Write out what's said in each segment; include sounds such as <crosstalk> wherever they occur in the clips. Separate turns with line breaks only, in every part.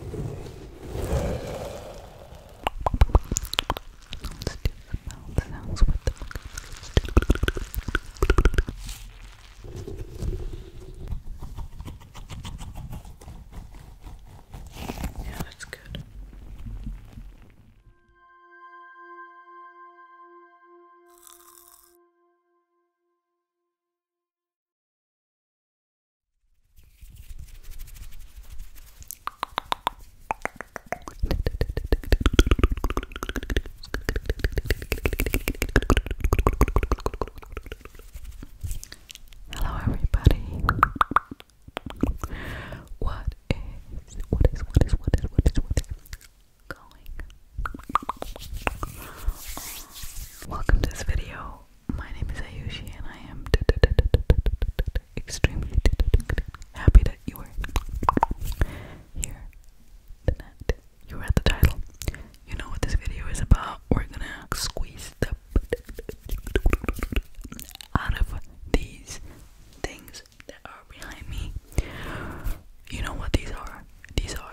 let do the mouth sounds with the Yeah, that's good. Hello, everybody. What is what is what is what is what is going? Welcome to this video my name is Ayushi and I am extremely happy that you are here You read the title. You know what this video is about. We're gonna squeeze the out of these things that are behind me. You know what these are? These are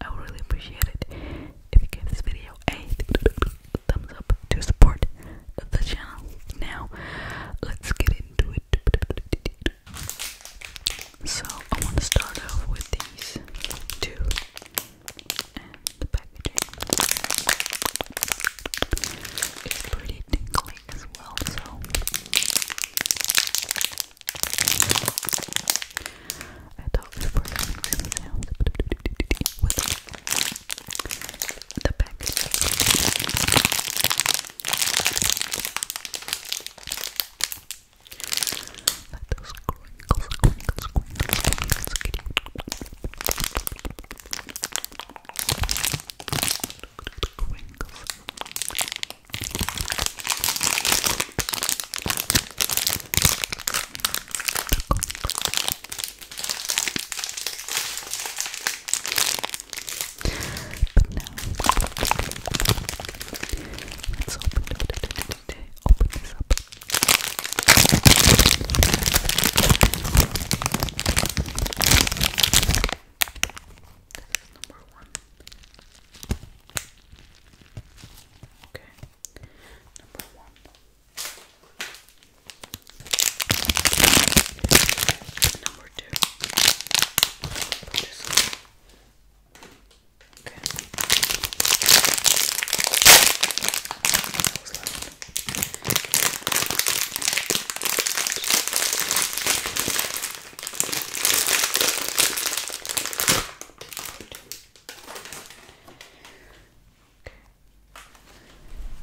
I would really appreciate it if you gave this video a thumbs up to support the channel. Now, let's get into it. So, I want to start off with these two the packaging. It's pretty tingly as well, so I thought before coming to the sound with the package. Let those crinkles, crinkles, crinkles, crinkles. Crinkles. Let's open, open this up. That's number one. Okay, number one. Number two. okay. Okay.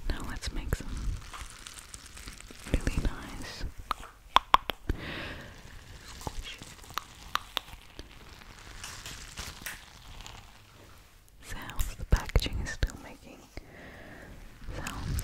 Now let's make some really nice sounds. The packaging is still making sounds.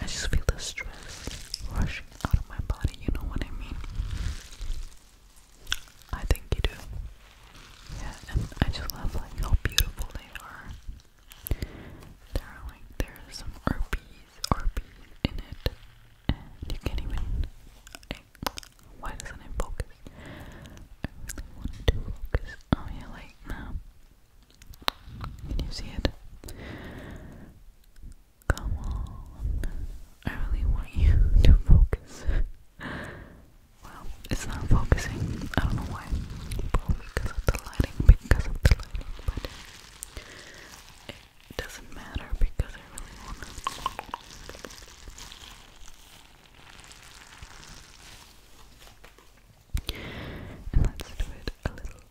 I just feel the stress rushing out of my body, you know what I mean? I think you do. Yeah, and I just love like how beautiful they are. There are like there's some RPs, RPs in it, and you can't even. why doesn't it focus? I really want to focus. Oh yeah, like now. Can you see it? Come on. I really want you <laughs> to focus. well, it's not focusing. I don't know why. Probably because of the lighting, because of the lighting, but it doesn't matter because I really want to. And let's do it a little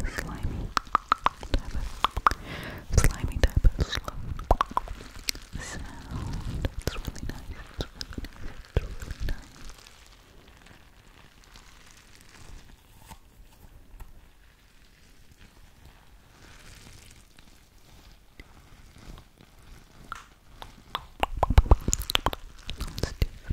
the slimy slimy type of slow sound. It's really nice. It's really nice. It's really nice. Let's do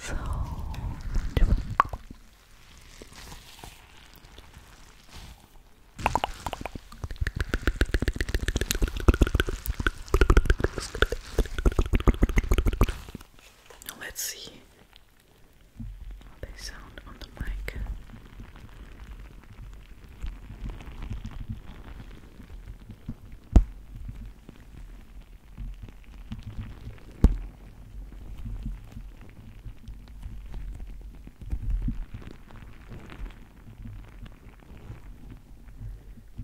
so let's see how they sound on the mic.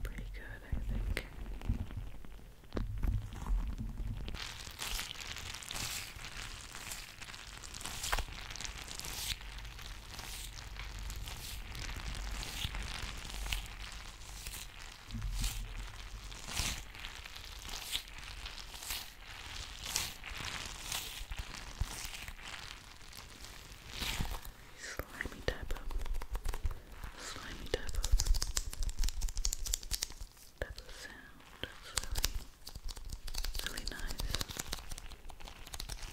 Pretty good, I think. Slimy type of, slimy type of, type of sound. That's really, really nice.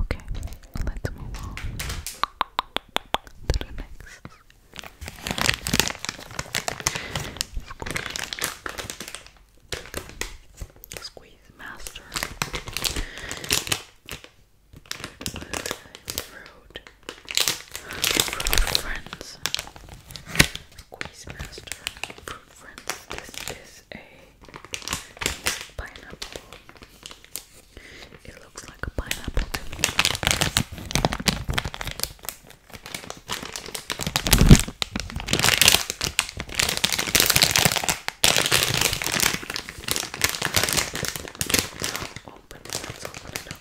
Okay, let's move on to the next. Squeeze. master. Fruit. friends. Squeeze master. Fruit friends. This is a pineapple it looks like a pineapple. Open it, let's open it up.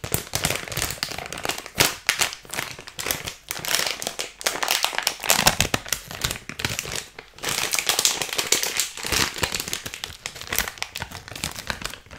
Okay.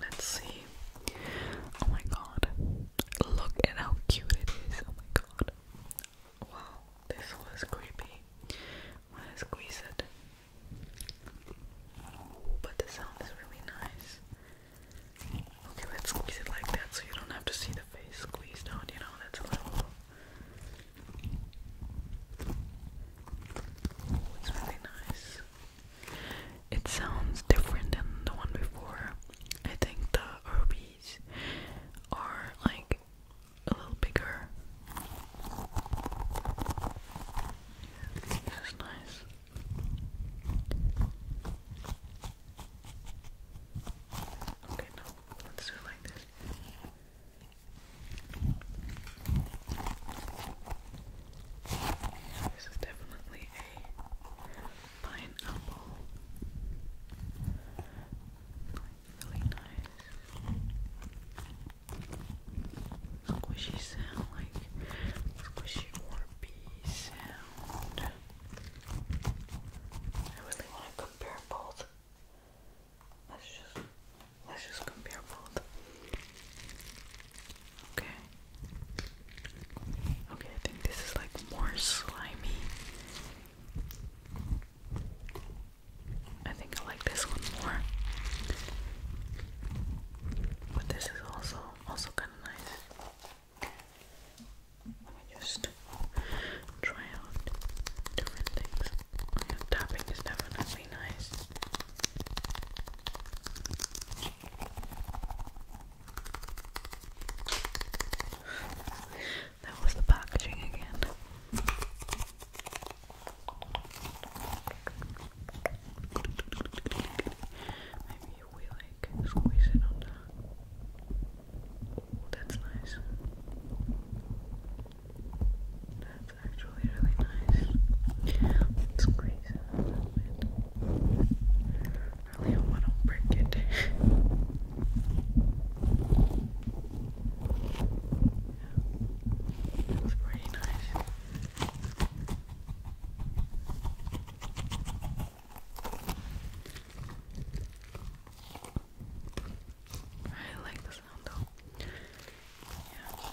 Let's see. Oh my god. Look at how cute it is. Oh my god. Wow, this was creepy. Wanna squeeze it? But the sound is really nice. Okay, let's squeeze it like that so you don't have to see the face squeezed out, you know, that's a little oh, it's really nice. It sounds different than the one before. I think the R B these are like a little bigger. This is nice. Okay, no, let's do like this. This is definitely a pineapple. really nice. Squishy sound, like squishy warpy sound. I really want to compare both. Let's just let's just compare both. Okay. Okay, I think this is like more slimy. I think I like this one more. But this is also also kind of nice. Let just try out different things. tapping is definitely nice. That was the packaging again. Maybe we like squeeze it on the. that's nice. That's actually really nice. Let's squeeze I oh, don't want to break it. It's pretty nice. I like the sound though. Yeah.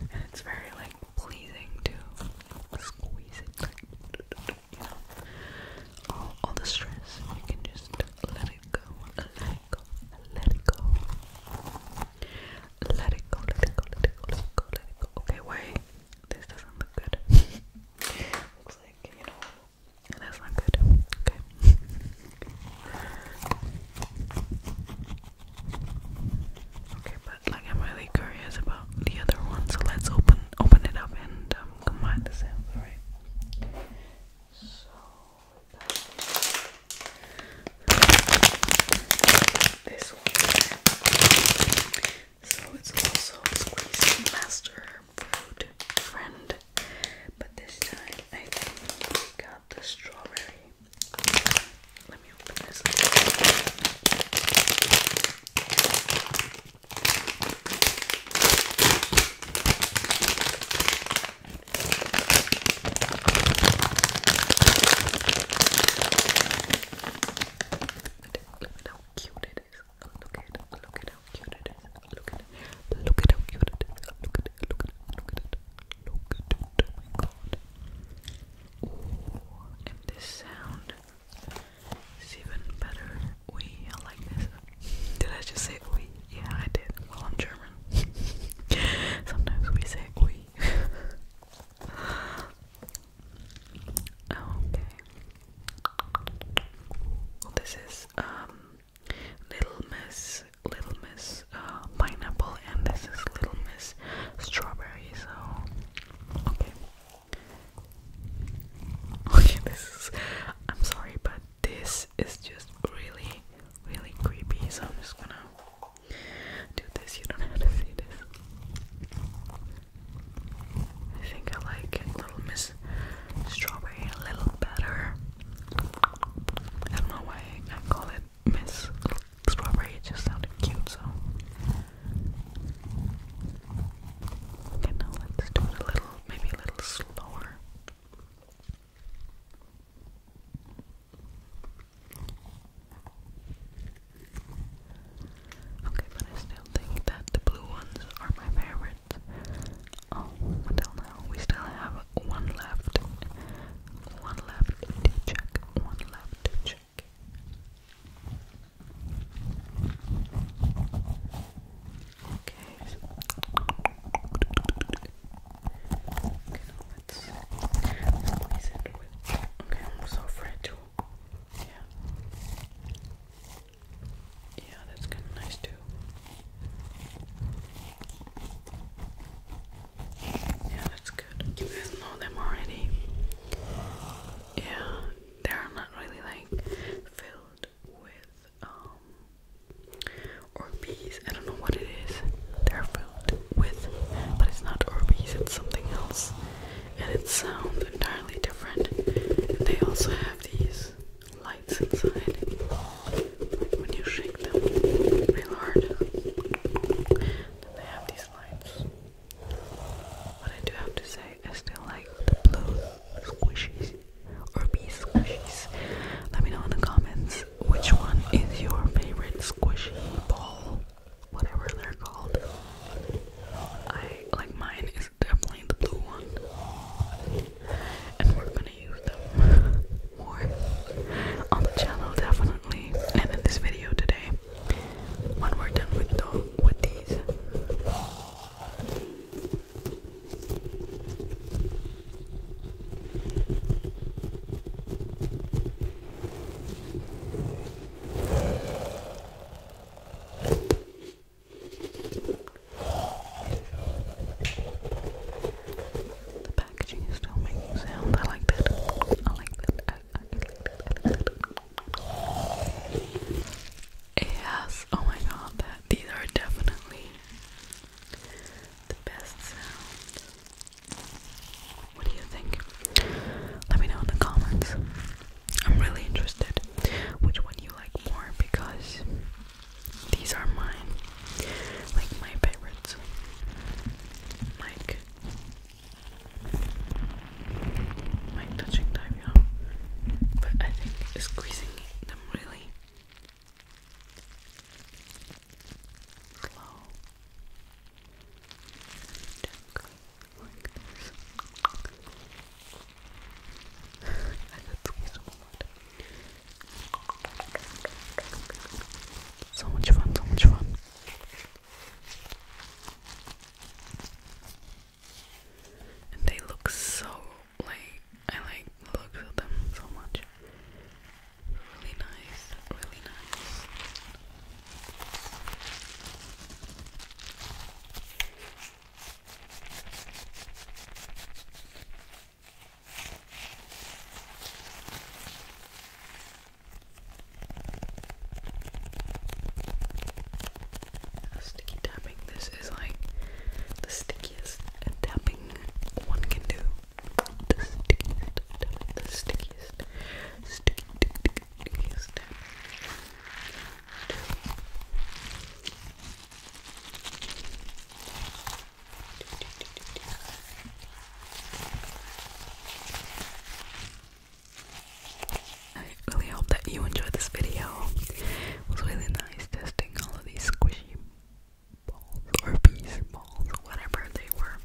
And it's very like pleasing to squeeze it you know, all, all the stress, you can just let it go, let it go, let it go. Let it go, let it go, let it go, Okay, wait, this doesn't look good. <laughs> Looks like, you know, that's not good. Okay. Okay, but like I'm really curious about the other one, so let's open open it up and um, combine the samples, right? So this one. So it's also squeeze master food friend, but this time I think we got the strawberry. Let me open this. Look at how cute it is. Look at look at how cute it is. Look at look at how cute it is. Look at it. Look at it. Look at it. Look at it. Oh my god. Ooh, and this sound. It's even better. We I like this. Did I just say we? Yeah, I did. Well, I'm German. <laughs> Sometimes we say we. <laughs> okay. this is um, Little Miss, Little Miss uh, Pineapple, and this is Little Miss Strawberry. So, okay. Okay, this is. I'm sorry, but this is just really, really creepy. So I'm just gonna do this. You don't have to see this. I think I like Little Miss Strawberry a little better. I don't know why I call it Miss Strawberry. It just sounded cute, so Okay, now let's do it a little, maybe a little slower. Okay, but I still think that the blue ones are my favorites. Oh, until now, we still have one left. One left to check. One left to check check. Okay. Okay, let's Okay, I'm so fragile. Yeah. Yeah, that's kind of nice too. Yeah, that's good. You guys know them already yeah, they're not really like filled with um Orbeez. I don't know what it is. They're filled with, but it's not Orbeez. It's something else, and it sounds entirely different. they also have these lights inside when you shake them real hard. Then they have these lights. What I do have to say, I still like the blue squishies or bee squishies. Let me know in the comments which one is your favorite squishy ball, whatever they're called. I like mine is definitely the blue one, and we're gonna use them more on the channel definitely and in this video today when we're done with the, with these. The packaging is still making sound. I like that. I like that. I, I like that. Yes, oh my god, these are definitely the best What do you think? Let me know in the comments. I'm really interested which one you like more because these are mine. Like my favorites. Like mic touching time, you But I think squeezing them really slow like <laughs> I could squeeze them a So much fun, so much fun. And they look so like I like the looks them so much. Really nice, really nice. Sticky tapping. This is like the stickiest tapping one can do. The stickiest tapping. The stickiest. stickiest I really hope that you enjoyed this video. It was really nice testing all of these squishy balls or bees balls, whatever they were.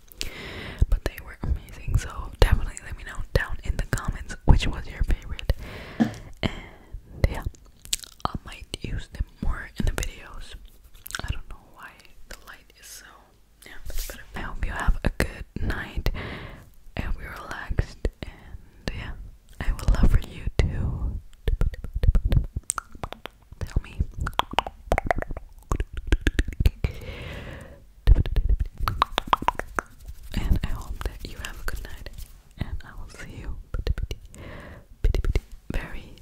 But they were amazing, so definitely let me know down in the comments which was your favorite. And yeah, I might use them more in the videos. I don't know why the light is so I hope you have a good night. and hope you're relaxed, and yeah, I will love for you too. tell me. And I hope that you have a good night, and I will see you very